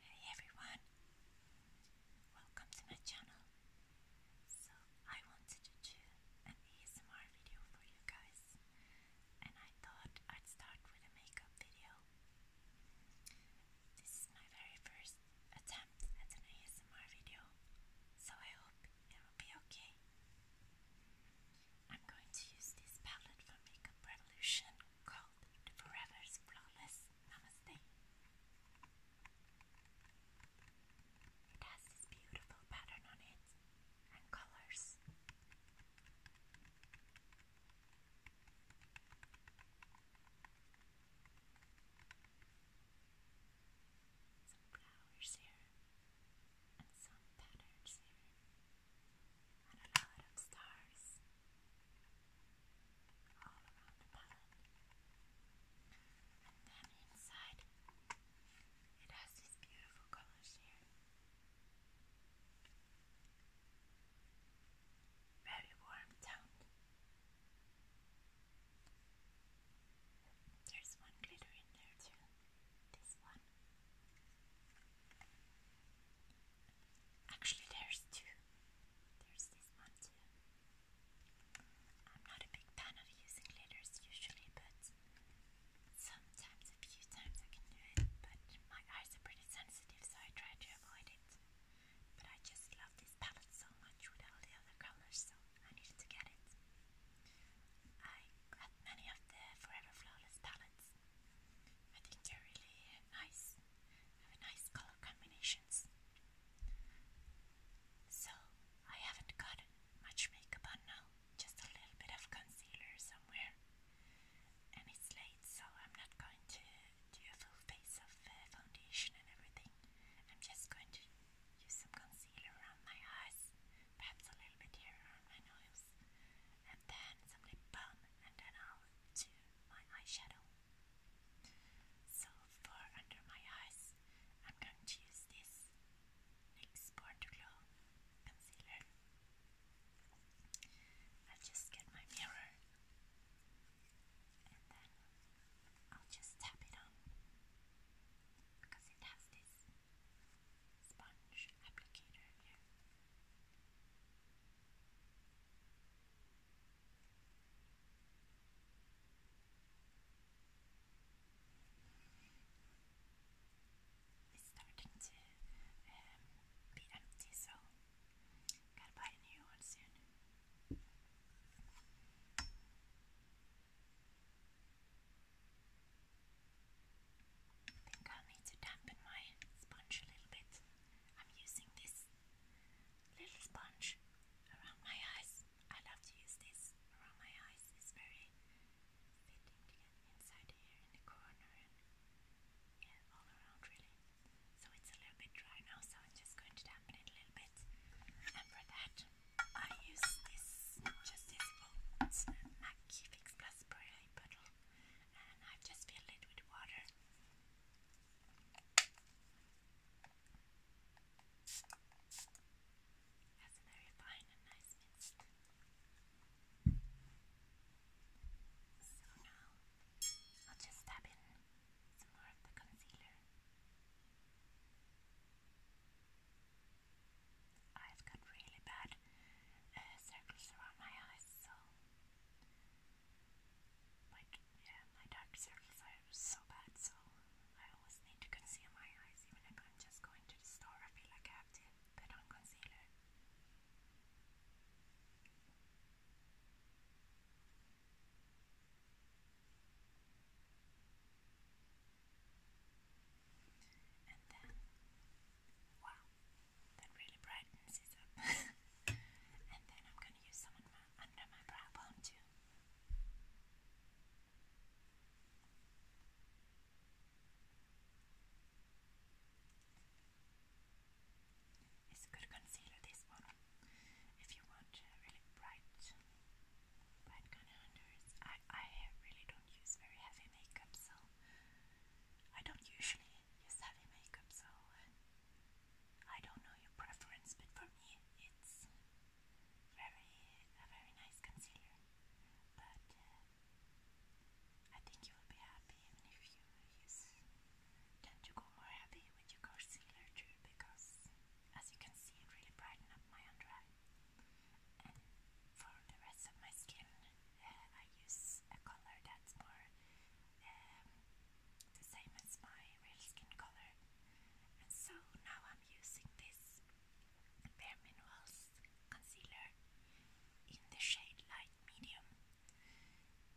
Hey everyone, welcome to my channel. So, I wanted to do an ASMR video for you guys, and I thought I'd start with a makeup video. This is my very first attempt at an ASMR video, so I hope it will be okay. I'm going to use this palette from Makeup Revolution called Forever's Flawless Namaste. It has this beautiful pattern on it and colors. Some flowers here and some patterns here and a palette of stars all around the palette. And then inside, it has these beautiful colors here. Very warm toned. There's one glitter in there too. This one. Actually, there's two. There's this one too. I'm not a big fan of using letters usually, but sometimes, a few times I can do it. But my eyes are pretty sensitive, so I try to avoid it. But I just love this palette so much with all the other colors, so I needed to get it. I got many of the Forever Flawless palettes I think they're really nice, have a nice color combinations. So, I haven't got much makeup on now, just a little bit of concealer somewhere. And it's late, so I'm not going to do a full face of uh, foundation and everything. I'm just going to use some concealer around my eyes, perhaps a little bit here around my nose, and then some lip balm, and then I'll do my eyeshadow. So for under my eyes, I'm going to use this NYX Born concealer. i just get my mirror and then I'll just tap it on because it has this sponge applicator here. It's starting to um, be empty, so gotta buy a new one soon. I think i need to dampen my sponge a little bit. I'm using this little sponge around my eyes. I love to use this around my eyes. It's very fitting to get inside here in the corner and all around really. So it's a little bit dry now, so I'm just going to dampen it a little bit. And for that, I use this just this old MAC Fix Plus spray bottle and I've just filled it with water. That's a very fine and nice mix. So now I'll just dab in some more of the concealer. i got really bad uh, circles around my eyes, so my yeah, my dark circles are so bad, so I always need to conceal my eyes, even if I'm just going to the store. I feel like I have to put on concealer. And then, wow, that really brightens it up. and then I'm going to use some under my brow bone too. It's a good concealer, this one. If you want really bright, bright kind of under I, I really don't use very heavy makeup, so I don't usually is heavy makeup, so I don't know your preference, but for me, it's very a very nice concealer. But uh, I think you will be happy even if you use tend to go more heavy with your concealer too, because as you can see, it really brighten up my under eye. And for the rest of my skin, um, I use a color that's more um, the same as my real skin color. And so now I'm using this Bare Minerals concealer in the shade light medium.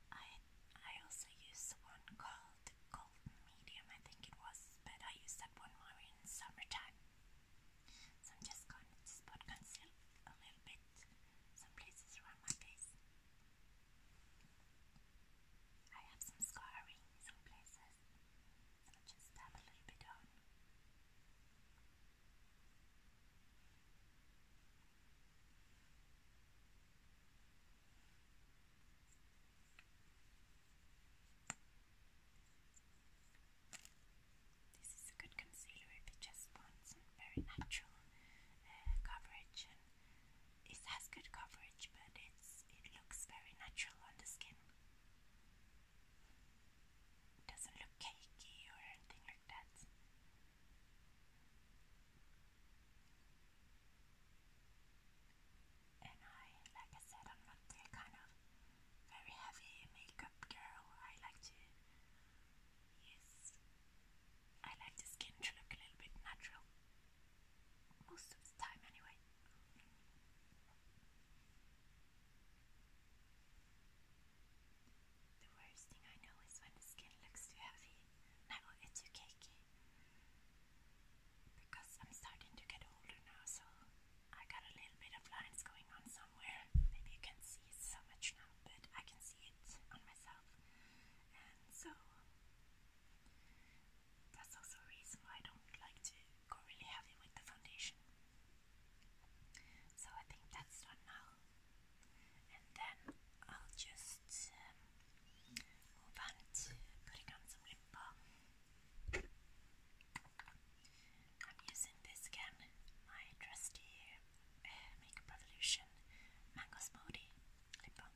I I also use one called golden medium, I think it was, but I use that one more in summertime. So I'm just going to spot conceal a little bit some places around my face. I have some scarring some places, so just dab a little bit on. This is a good concealer if you just want some very natural uh, coverage. And it has good coverage, but it's it looks very natural on the skin. doesn't look cakey or anything like that. And I, like I said, I'm not the kind of very heavy makeup girl. I like to Yes. I like the skin to look a little bit natural. Most of the time, anyway. The worst thing I know is when the skin looks too heavy. No, it's too cakey. Because I'm starting to get older now, so I got a little bit of lines going on somewhere. Maybe you can see so much now, but I can see it on myself, and so that's also a reason why I don't like to go really heavy with the foundation. So I think that's done now, and then I'll just um, move on to putting on some lip I'm using this again, my trusty uh, Makeup Revolution Mango Smoothie lip balm.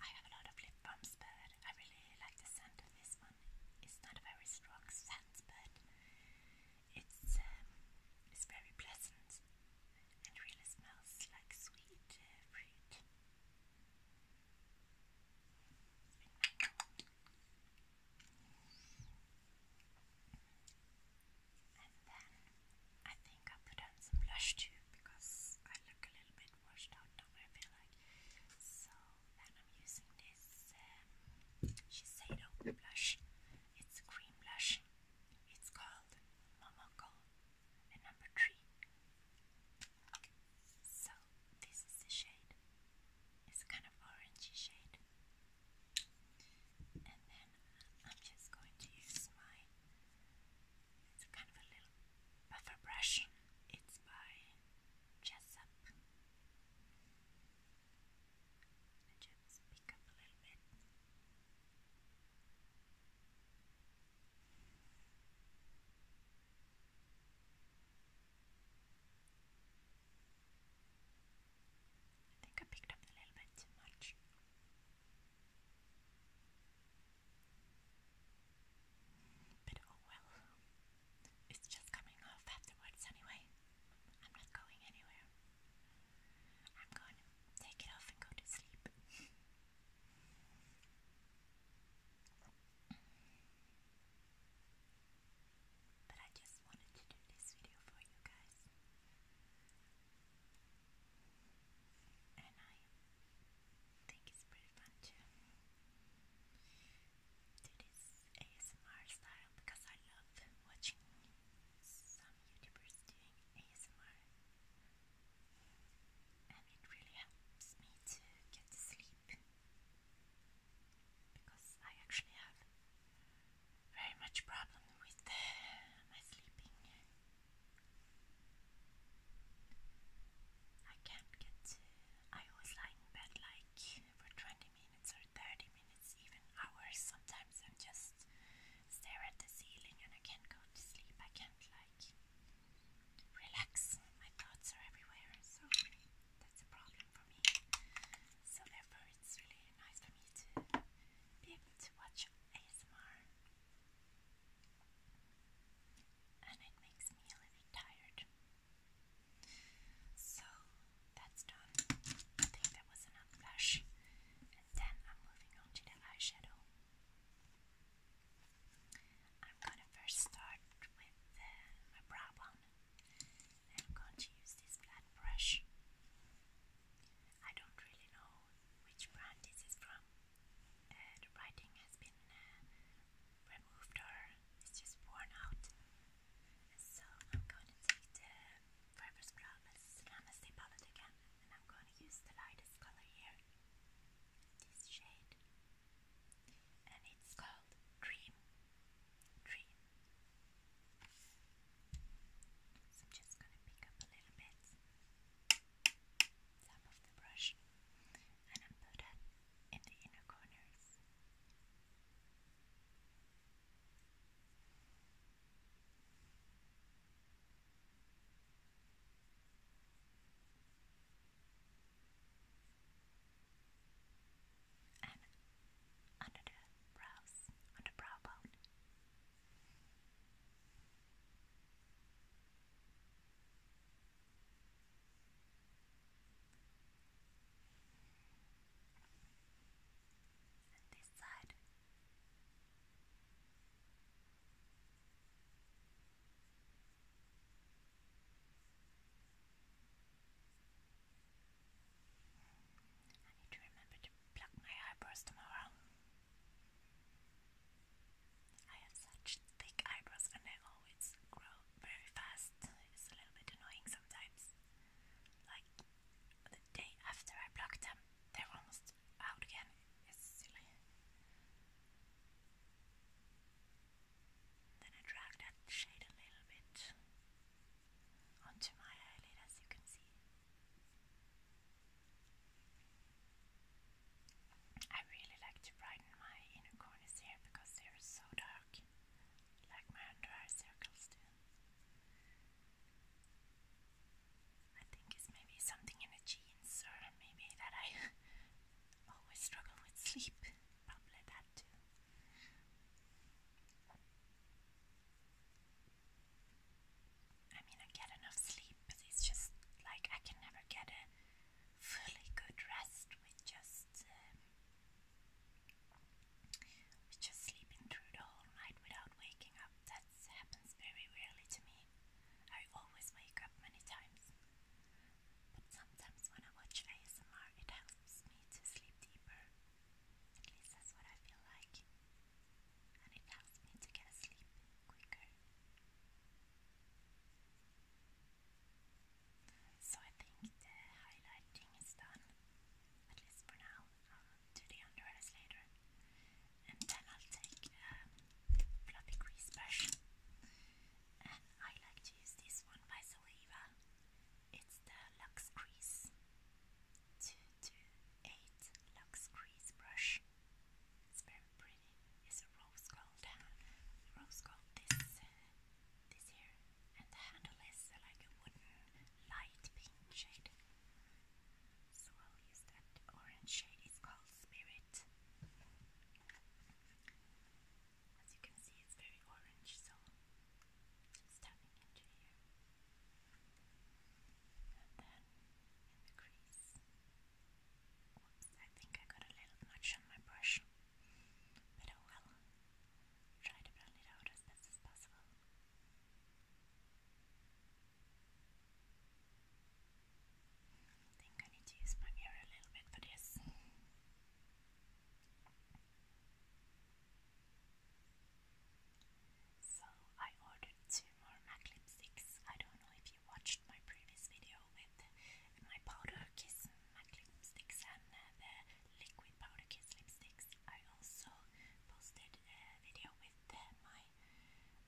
I have a lot of lip balms, but I really like the scent of this one. It's not a very strong scent, but it's um, it's very pleasant and really smells like sweet uh, fruit. And then I think I put on some blush too because I look a little bit washed out now, I feel like. So then I'm using this um, Shiseido blush. It's a cream blush. It's called Momoko and number three. So this is the shade. It's kind of orangey shade. And then I'm just going to use my kind of a little buffer brush. It's by Jessup. just pick up a little bit. I think I picked up a little bit too much. But oh well, it's just coming off afterwards anyway. I'm not going anywhere. I'm going to take it off and go to sleep. But I just wanted to do this video for you guys. And I think it's pretty fun to do this ASMR style because I love watching some YouTubers doing ASMR. And it really helps me to get to sleep because I actually have very much problem with uh, my sleeping. I can't get. To, I always lie in bed like for twenty minutes or thirty minutes, even hours. Sometimes I'm just stare at the ceiling and I can't go to sleep. I can't like relax. My thoughts are everywhere, so that's a problem for for me. So therefore it's really nice for me to be able to watch ASMR. And it makes me a little tired. So that's done. I think that was enough blush. And then I'm moving on to the eyeshadow. I'm gonna first start with uh, my brow one. I'm going to use this flat brush. I don't really know which brand this is from. Uh, the writing has been uh, removed or it's just worn out. So I'm going to take the fiber scrub as Namaste palette again and I'm going to use the lightest color here. This shade. And it's called Dream tree. So I'm just going to pick up a little bit, top of the brush, and I'm put that in the inner corners and under the brows, on brow bone. And this side. I need to remember to pluck my eyebrows tomorrow. I have such thick eyebrows and they always grow very fast. It's a little bit annoying sometimes. Like the day after I plucked them, they're almost out again. It's silly. Then I drag that shade a little bit onto my eyelid as you can see. I really like to brighten my inner corners here because they are so dark, like my under eye circles do. I think it's maybe something in the genes, or maybe that I always struggle with sleep probably that too. I mean, I get enough sleep, but it's just like I can never get a fully good rest with just um, with just sleeping through the whole night without waking up. That happens very rarely to me. I always wake up many times but sometimes when I watch ASMR, it helps me to sleep deeper. At least that's what I feel like. And it helps me to get asleep quicker. So I think the highlighting is done, at least for now. do the under later. And then I'll take a um, fluffy grease brush. And I like to use this one by Saliva it's the Lux Crease 228 Lux Crease brush. It's very pretty. It's a rose gold uh, rose gold this uh, this here, and the handle is uh, like a wooden light pink shade. So I'll use that orange shade. It's called Spirit. As you can see, it's very orange, so it's tapping into here. And then in the crease. I think I got a little notch on my brush. But oh well. Try to blend it out as best as possible. I think I need to use my mirror a little bit for this. So I ordered two more MacLip sticks. I don't know if you watched my previous video with my powder kiss MacLip sticks and uh, the liquid powder kiss lipsticks. I also posted a video with uh, my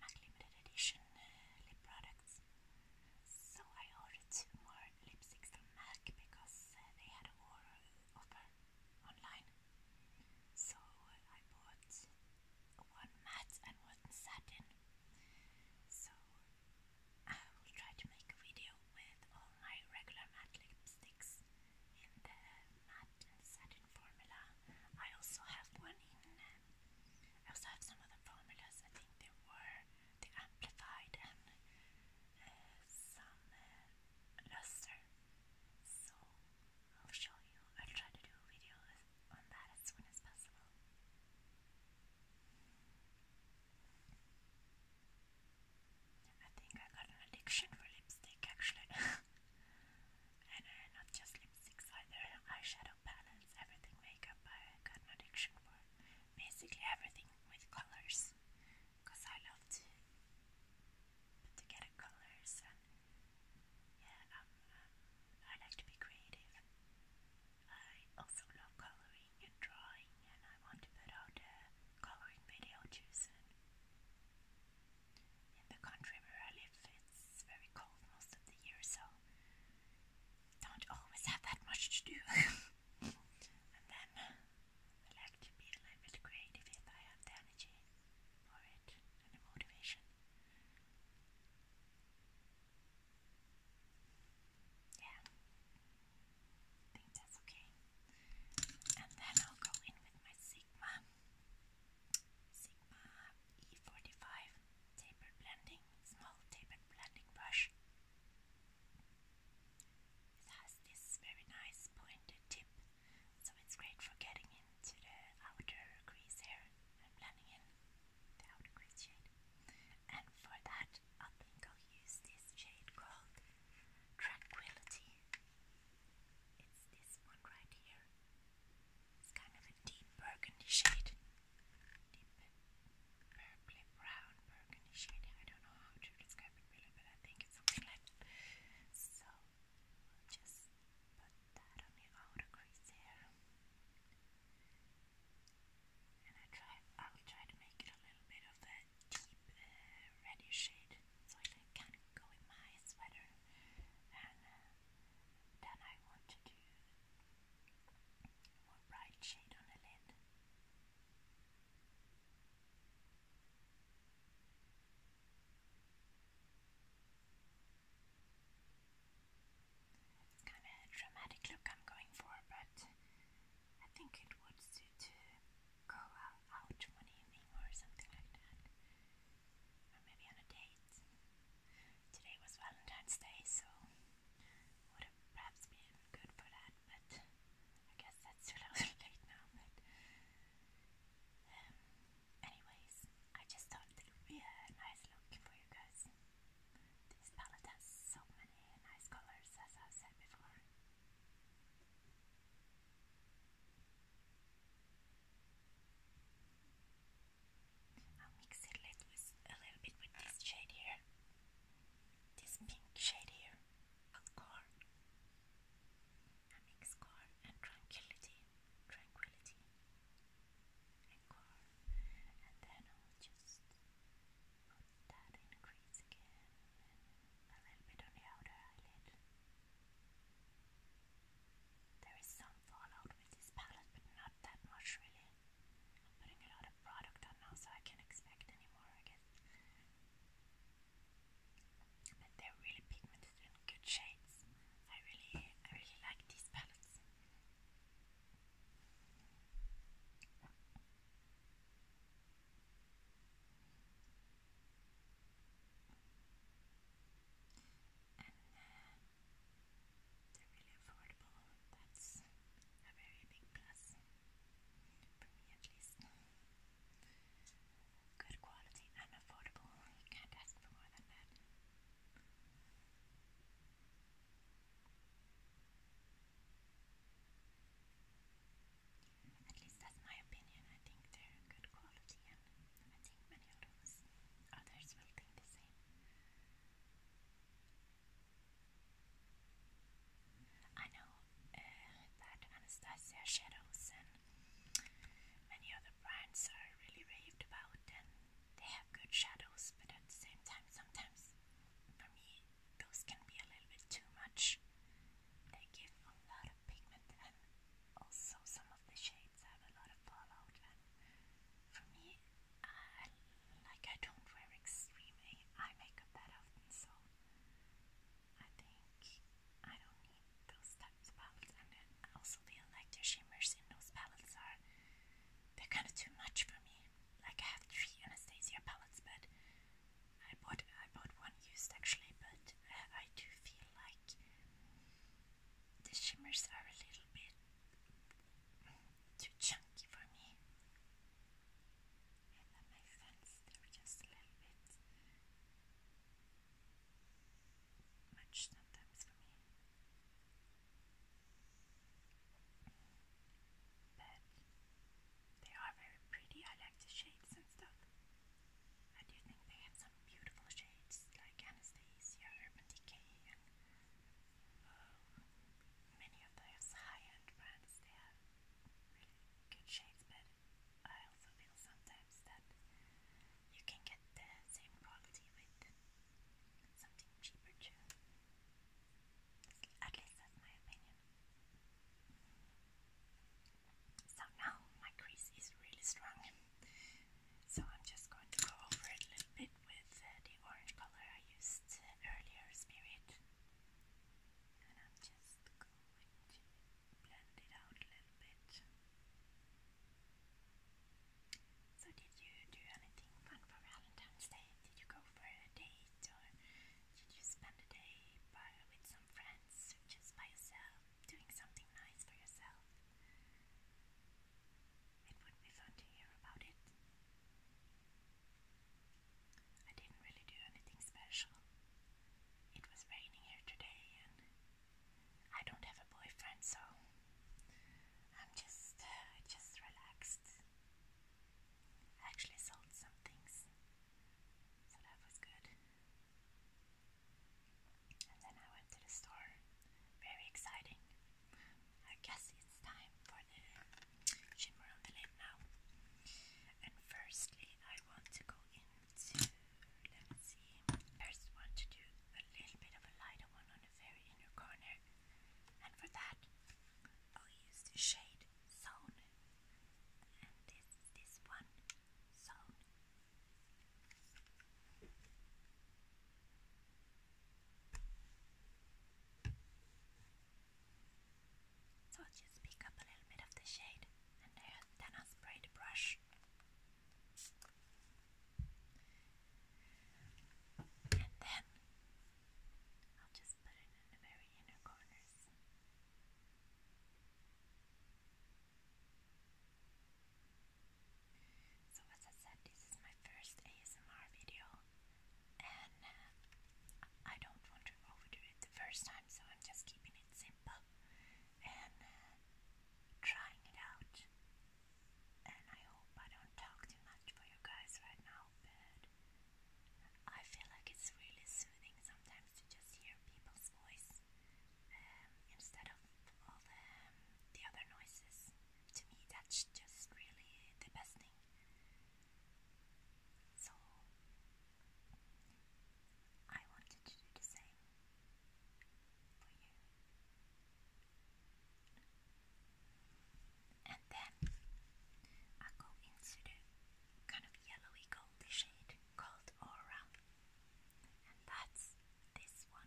MAC limited edition uh, lip products. So I ordered two more lipsticks from MAC because uh, they had a uh, offer online. So uh, I bought one matte and one satin. So I will try to make a video with all my regular matte lipsticks in the matte and satin formula. I also have one in. I also have some other formulas. I think there were the amplified and uh, some uh, luster. So I'll show you. I'll try to do a video on that as soon as possible. I think I got an addiction for lipstick actually. and uh, not just lipsticks either, eyeshadow palettes, everything makeup I got an addiction for. Basically everything with colors colors because I love to put together colors and yeah, um, um, I like to be creative. I also love coloring and drawing, and I want to put out a coloring video too soon. In the country where I live, it's very cold most of the year, so don't always have that much to do. and then uh, will actually be a little bit creative if I have the energy for it and the motivation. Yeah, I think that's okay. And then I'll go in with my Sigma, Sigma E45 tapered blending, small tapered blending brush. It has this very nice pointed tip, so it's great for getting into the outer crease here and blending in the outer crease shade. And for that, I think I'll use this shade called Tranquility. It's this one right here. It's kind of a deep burgundy shade purpley brown burgundy shade. I don't know how to describe it really, but I think it's something like that. So we'll just put that on the outer crease there. And I try, I'll try to make it a little bit of a deep uh, reddish shade so it can go in my sweater. And uh, then I want to do a more bright shade on the lid. So Kind of dramatic look I'm going for, but I think it would suit to go out one evening or something like that. Or maybe on a date. Today was Valentine's Day, so would have perhaps been good for that, but I guess that's too little late now. But um, anyways, I just thought it would be a nice look for you guys. This palette has so many nice colors, as i said before. I'll mix it a little bit with this shade here. This pink shade here, a I mix car and tranquility, tranquility, and and then I'll just put that in crease again, and a little bit on the outer eyelid. There is some fallout with this palette, but not that much really putting a lot of product on now, so I can't expect anymore, I guess. But they're really pigmented good shades. I really, I really like these palettes. Uh, they're really affordable. That's a very big plus. For at least. Good quality and affordable. You can't ask for more than that. At least that's my opinion. I think they're good quality, and I think many of others will think the same. I know uh, that Anastasia Shadows and many other brands are really raved about and they have good shadows, but at the same time, sometimes for me, those can be a little bit too much. They give a lot of pigment, and also some of the shades have a lot of fallout. And for me, I, uh, like I don't wear extreme eye makeup that often, so I think I don't need those types of palettes. also the like shimmers in those palettes are they're kind of too much for me. Like I have three Anastasia palettes, but I bought I bought one used actually, but uh, I do feel like the shimmers are a little bit too chunky for me. And my hands, they're just a little bit much sometimes for me. But they are very pretty. I like the shades and stuff. I do think they have some beautiful shades like Anastasia, Urban Decay, and um, many of those high-end brands, they have really good shades, but I also feel sometimes that you can get the same quality with something cheaper too. At least that's my opinion. So now my crease is really strong. So I'm just going to go over it a little bit with uh, the orange color I used earlier, Spirit and I'm just going to blend it out a little bit. So did you do anything fun for Valentine's Day? Did you go for a date or did you spend the day with some friends or just by yourself doing something nice for yourself? It would be fun to hear about it. I didn't really do anything special. It was raining here today, and I don't have a boyfriend, so I'm just, uh, just relaxed. actually sold some things, so that was good. And then I went to the store, very exciting. I guess it's time for uh, shimmer on the lid now. And firstly, I want to go into, let's see, first want to do a little bit of a lighter one on the very inner corner. And for that, I'll use the shade Zone. And this this one, Zone. So I'll just pick up a little bit of the shade and then I'll spray the brush. And then I'll just put it in the very inner corners. So as I said, this is my first ASMR video and uh, I don't want to overdo it the first time, so I'm just keeping it simple and uh, trying it out. And I hope I don't talk too much for you guys right now, but I feel like it's really soothing sometimes to just hear people's voice um, instead of all the, um, the other noises. To me, that's just really the best thing. So I wanted to do the same for you. And then I go into the kind of yellowy goldy shade called Aura. And that's this one.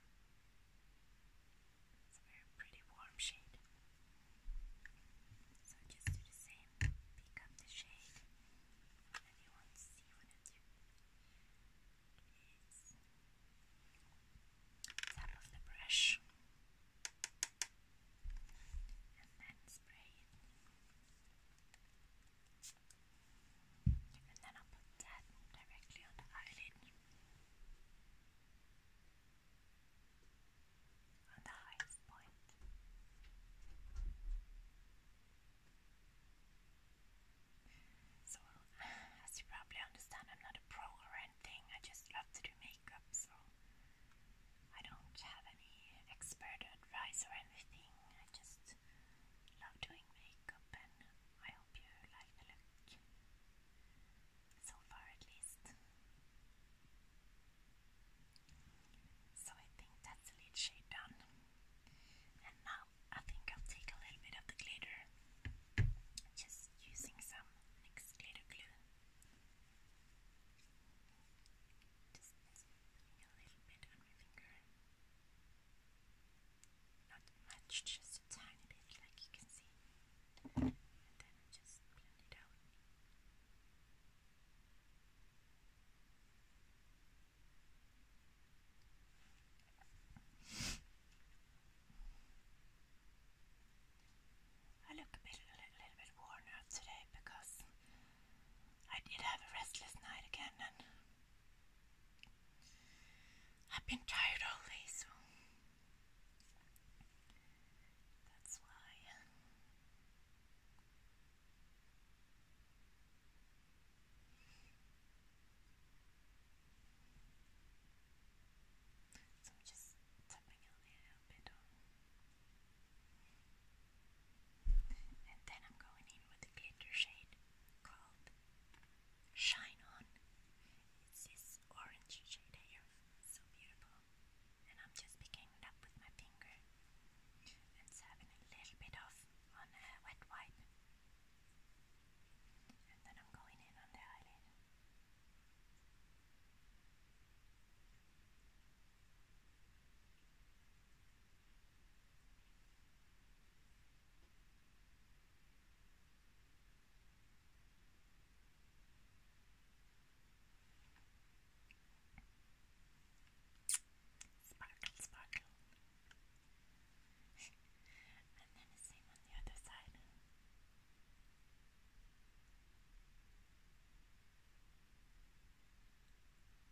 It's a very pretty warm shade. So just do the same. Pick up the shade. And you want to see what it is. Top of the brush. And then spray And then I'll put that directly on the eyelid. So, as you probably understand, I'm not a pro or anything, I just love to do makeup, so I don't have any expert advice or anything. I just love doing makeup, and I hope you like the look so far at least. So I think that's the lid shade done. And now I think I'll take a little bit of the glitter, just using some NYX glitter glue. Just putting a little bit on my finger. Not much, just a tiny bit, like you can see. I look a bit, a little bit worn out today because I did have a restless night again, and I've been tired all day, so that's why. So I'm just tapping a little bit And then I'm going in with a glitter shade called Shine On. It's this orange shade here. so beautiful and I'm just picking it up with my finger and serving a little bit off on a uh, wet wipe. And then I'm going in on the eyelid. Sparkle, sparkle. and then the same on the other side. I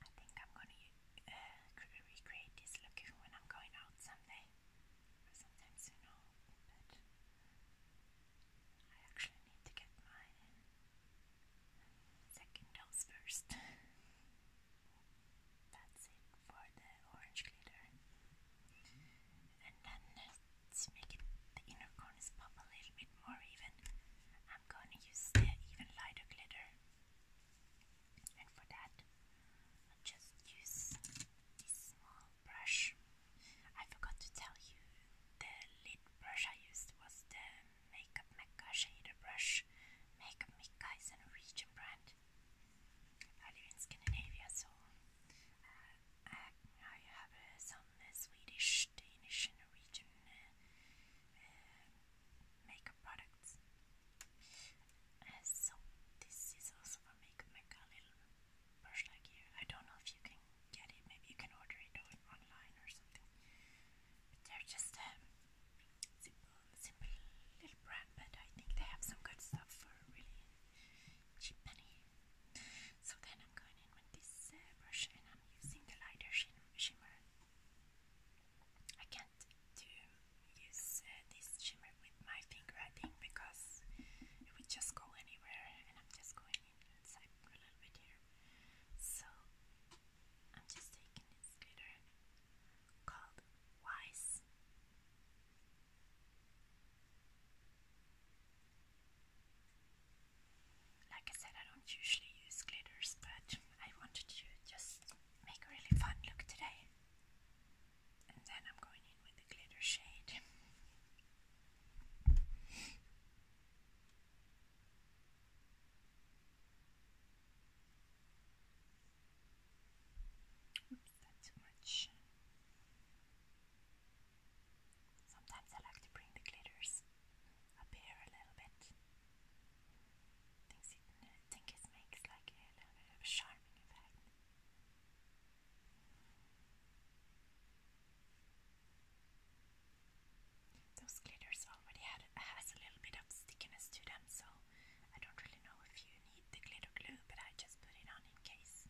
think I'm gonna uh, recreate this look when I'm going out someday or sometime soon, I actually need to get my second dose first. That's it for the orange glitter. And then to make the inner corners pop a little bit more even, I'm gonna use the even lighter glitter. And for that, just use this small brush. I forgot to tell you the lid brush I used was the Makeup Mecca shader brush. Makeup Mecca is a region brand. I live in Scandinavia, so uh, I, have uh, some uh, Swedish, Danish, and Norwegian uh, uh, makeup products. so this is also from Makeup Mecca, Brush like here. I don't know if you can get it. Maybe you can order it online or something. they're just a um, simple, simple little brand, but I think they have some good stuff for really cheap money. So then I'm going in with this uh, brush and I'm using the lighter shimmer. I can't do use uh, this shimmer with my finger, I think, because it would just go anywhere, I'm just going inside a little bit here. So I'm just taking this glitter called Wise. Like I said, I don't usually use glitters, but I wanted to just make a really fun look today. And then I'm going in with the glitter shade. Oops, that's too much. Sometimes I like to bring the glitters up here a little bit. think it makes like a little bit of a charming effect. Those glitters already had, has a little bit of stickiness to them, so I don't really know if you need the glitter glue, but I just put it on in case.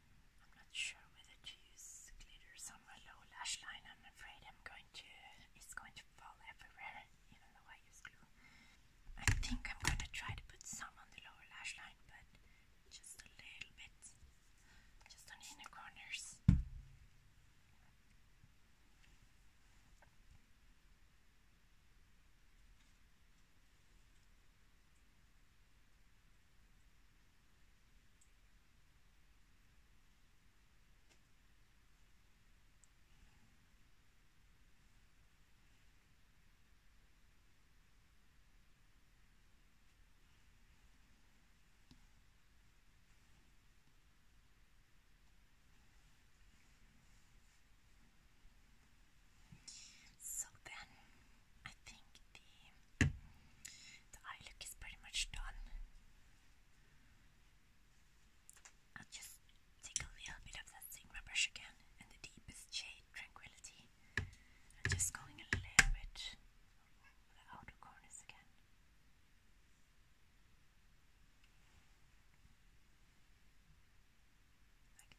I'm not sure whether to use glitter on my low lash line. I'm afraid I'm going to, it's going to fall everywhere, even though I use glue. I think I'm going to try to put some on the lower lash line, but just a little bit, just on the inner corners. So then I think the the eye look is pretty much done. i just take a little bit of that Sigma brush again and the deepest shade, Tranquility. I'm just going a little bit over the outer corners again.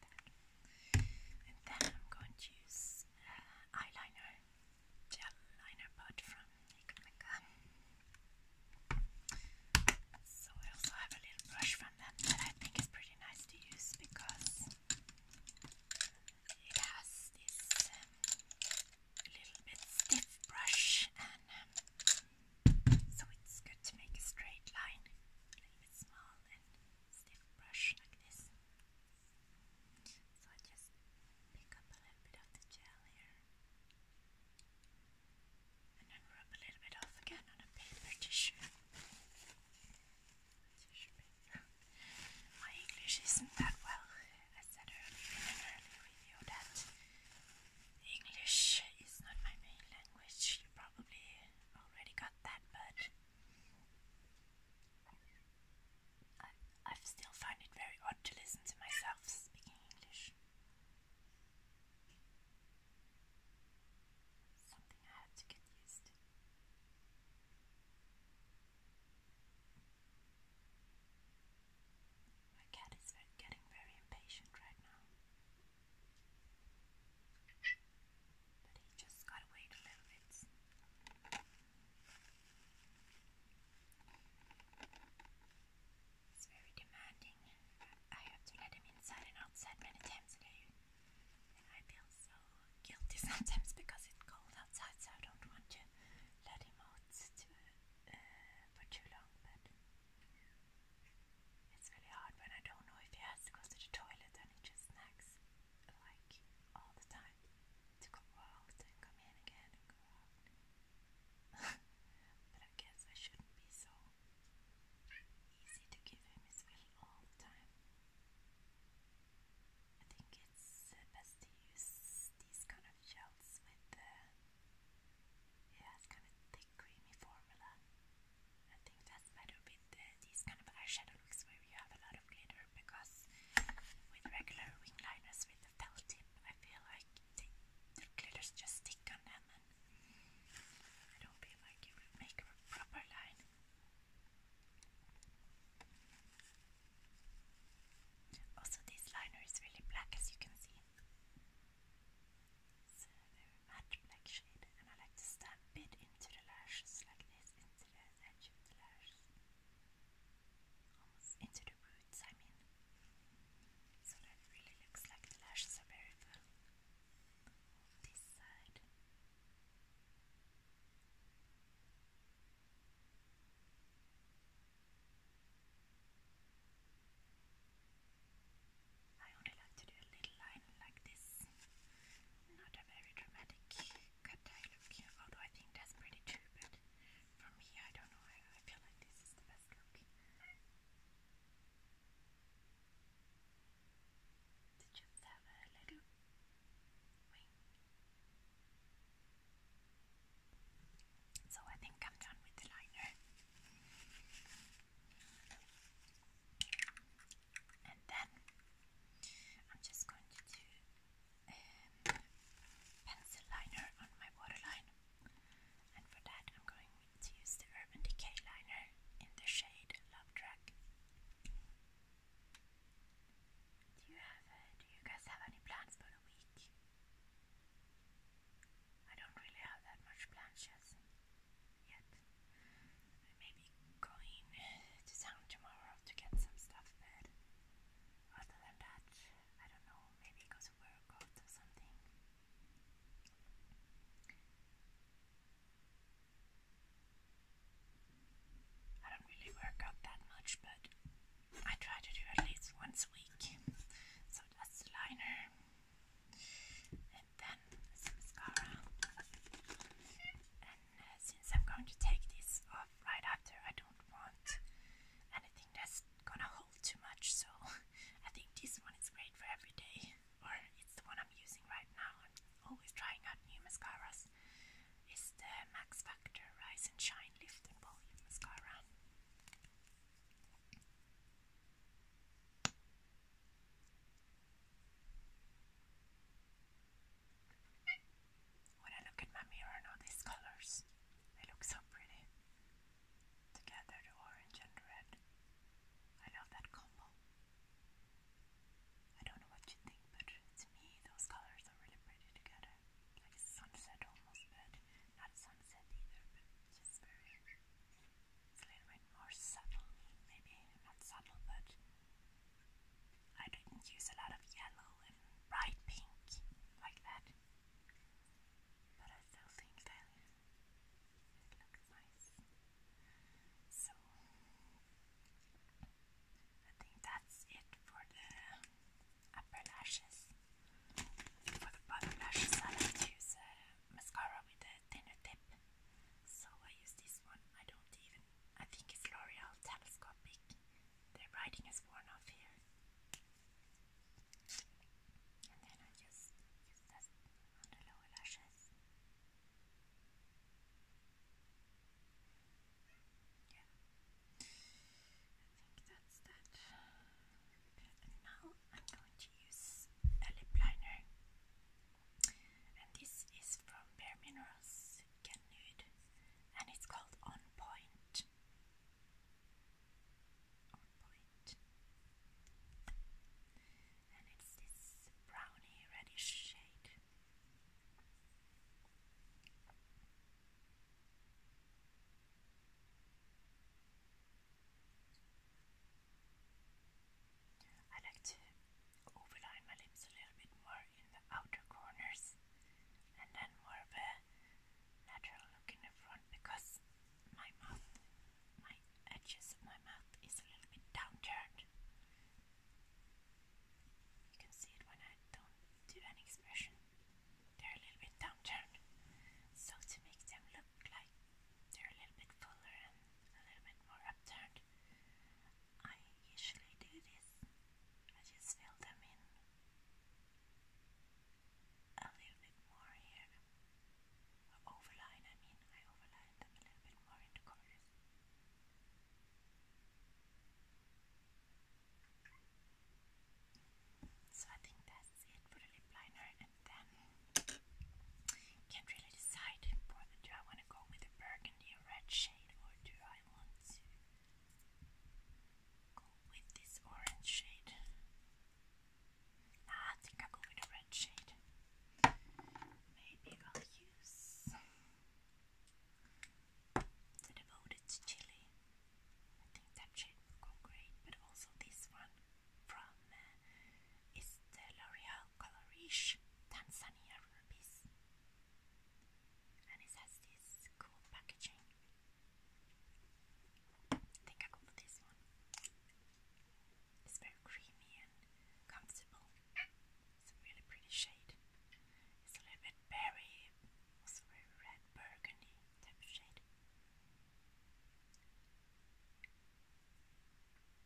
Like that. And then I'm going to use eyeliner, gel liner pot from Nickelnica. So I also have a little brush from them that I think is pretty nice to use because it has this um, little bit stiff brush and um, so it's good to make a straight line, a little bit small and stiff brush like this. So I just pick up a little bit of the gel here and then rub a little bit off again on a paper tissue. My English isn't that well. I said earlier in an earlier that English is not my main language. You probably already got that, but I, still find it very odd to listen to myself speaking English. Something I had to get used to. My cat is getting very impatient right now but he just got away a little bit. It's very demanding. I have to let him inside and outside many times a day. And I feel so guilty sometimes because it's cold outside, so I don't want to let him out uh, for too long. But it's really hard when I don't know if he has to go to the toilet and he just nags like all the time to go out and come in again and go out. but I guess I shouldn't be so easy to give him his will all the time. I think it's best to use these kind of gels with the. Yeah, kind of thick, creamy formula. I think that better with these kind of eyeshadow looks where you have a lot of glitter because with regular wing liners with the felt tip, I feel like the, the just stick on them I don't feel like you would make a proper line. Also, this liner is really black as you can see. It's a uh, very matte black shade, and I like to stamp it into the lashes like this circular almost into the roots, I mean. So that really looks like the lashes are very full. This side. I only like to do a little line like this, not a very dramatic cut look although I think that's pretty too, but for me, I don't know, I, feel like this is the best look. To just have a little wing. So I think I'm done with the liner and then I'm just going to um, pencil liner on my waterline and for that I'm going to use the Urban Decay liner in the shade Love Drag. Do you have uh, do you guys have any plans for the week? I don't really have that much plans yet. I going to town tomorrow to get some stuff, but other than that, I don't know, maybe go to work out or something. I don't really work out that much, but I try to do at least once a week. So that's the liner, and then some mascara, since I'm going to take this off right after, I don't want anything that's gonna hold too much. So I think this one is great for every day, or it's the one I'm using right now. I'm always trying out new mascaras. It's the Max Factor Rise and Shine Lift and Volume Mascara. When I look at my mirror and all these colors, they look so pretty. Together, the orange and the red. I love that combo. I don't know what you think, but to me, those colors are really pretty together. Like a sunset almost, but not sunset either, but just very. It's a little bit more subtle, maybe not subtle, but I didn't use a lot of yellow and bright pink like that, but I still think that it looks nice. So I think that's it for the upper lashes. For the bottom lashes, I like to use mascara with a thinner tip. So I use this one. I don't even. I think it's L'Oreal Telescopic. The writing is worn off here. And then I just use that on the lower lashes. Yeah. I think that's that. And now I'm going to use a lip liner. And this is from Bare Minerals Can and it's called On Point. On And it's this browny reddish shade. I like to overline my lips a little bit more in the outer corners and then more of a natural look in the front because my mouth, my edges of my mouth is a little bit downturned. You can see it when I don't do any expression. They're a little bit downturned. So to make them look like they're a little bit fuller a little bit more upturned. I usually do this. I just fill them in a little bit more here. overline, I mean, I overline them a little bit more in the corners. So I think that's it for the lip liner, and then can't really decide whether I want to go with the burgundy any red shade or do I want to go with this orange shade? Ah, I think i go with the red shade. Maybe I'll use the Devoted to Chili. I think that shade will go great, but also this one from is uh, the L'Oreal colorish Tanzania rupees. And it has this cool packaging. I think I go for this one. It's very creamy and comfortable. It's a really pretty shade. It's a little bit berry, also very red burgundy type shade. I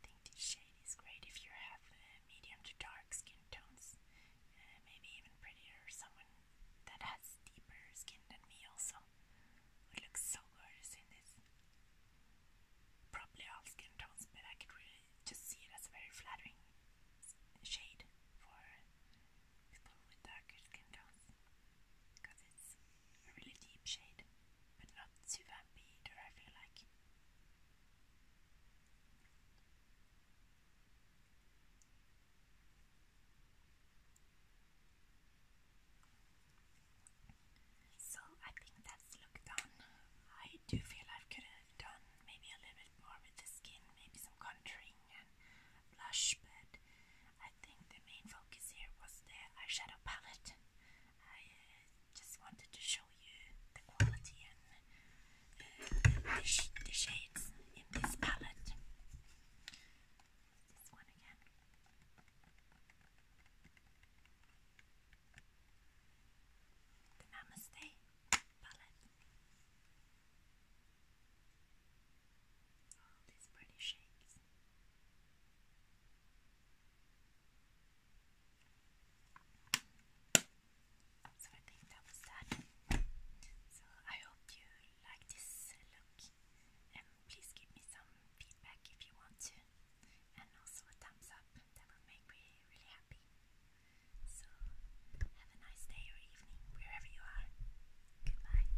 think this shade is great if you have uh, medium to dark skin tones, uh, maybe even prettier someone that has deeper skin than me also would look so gorgeous in this. Probably all skin tones, but I could really just see it as a very flattering shade for people with darker skin tones because it's a really deep shade, but not too vampy either, I feel like. So I think that's looked done. I do feel I could have done maybe a little bit more with the skin, maybe some contouring and blush, but I think the main focus here was the eyeshadow palette. I uh, just wanted to show you the quality and uh, the, the shades in this palette. This one again. The Namaste palette. All these pretty shades. So I think that was that. So I hope you like this look and please give me some feedback if you want to and also a thumbs up, that would make me really happy. So have a nice day or evening wherever you are. Goodbye.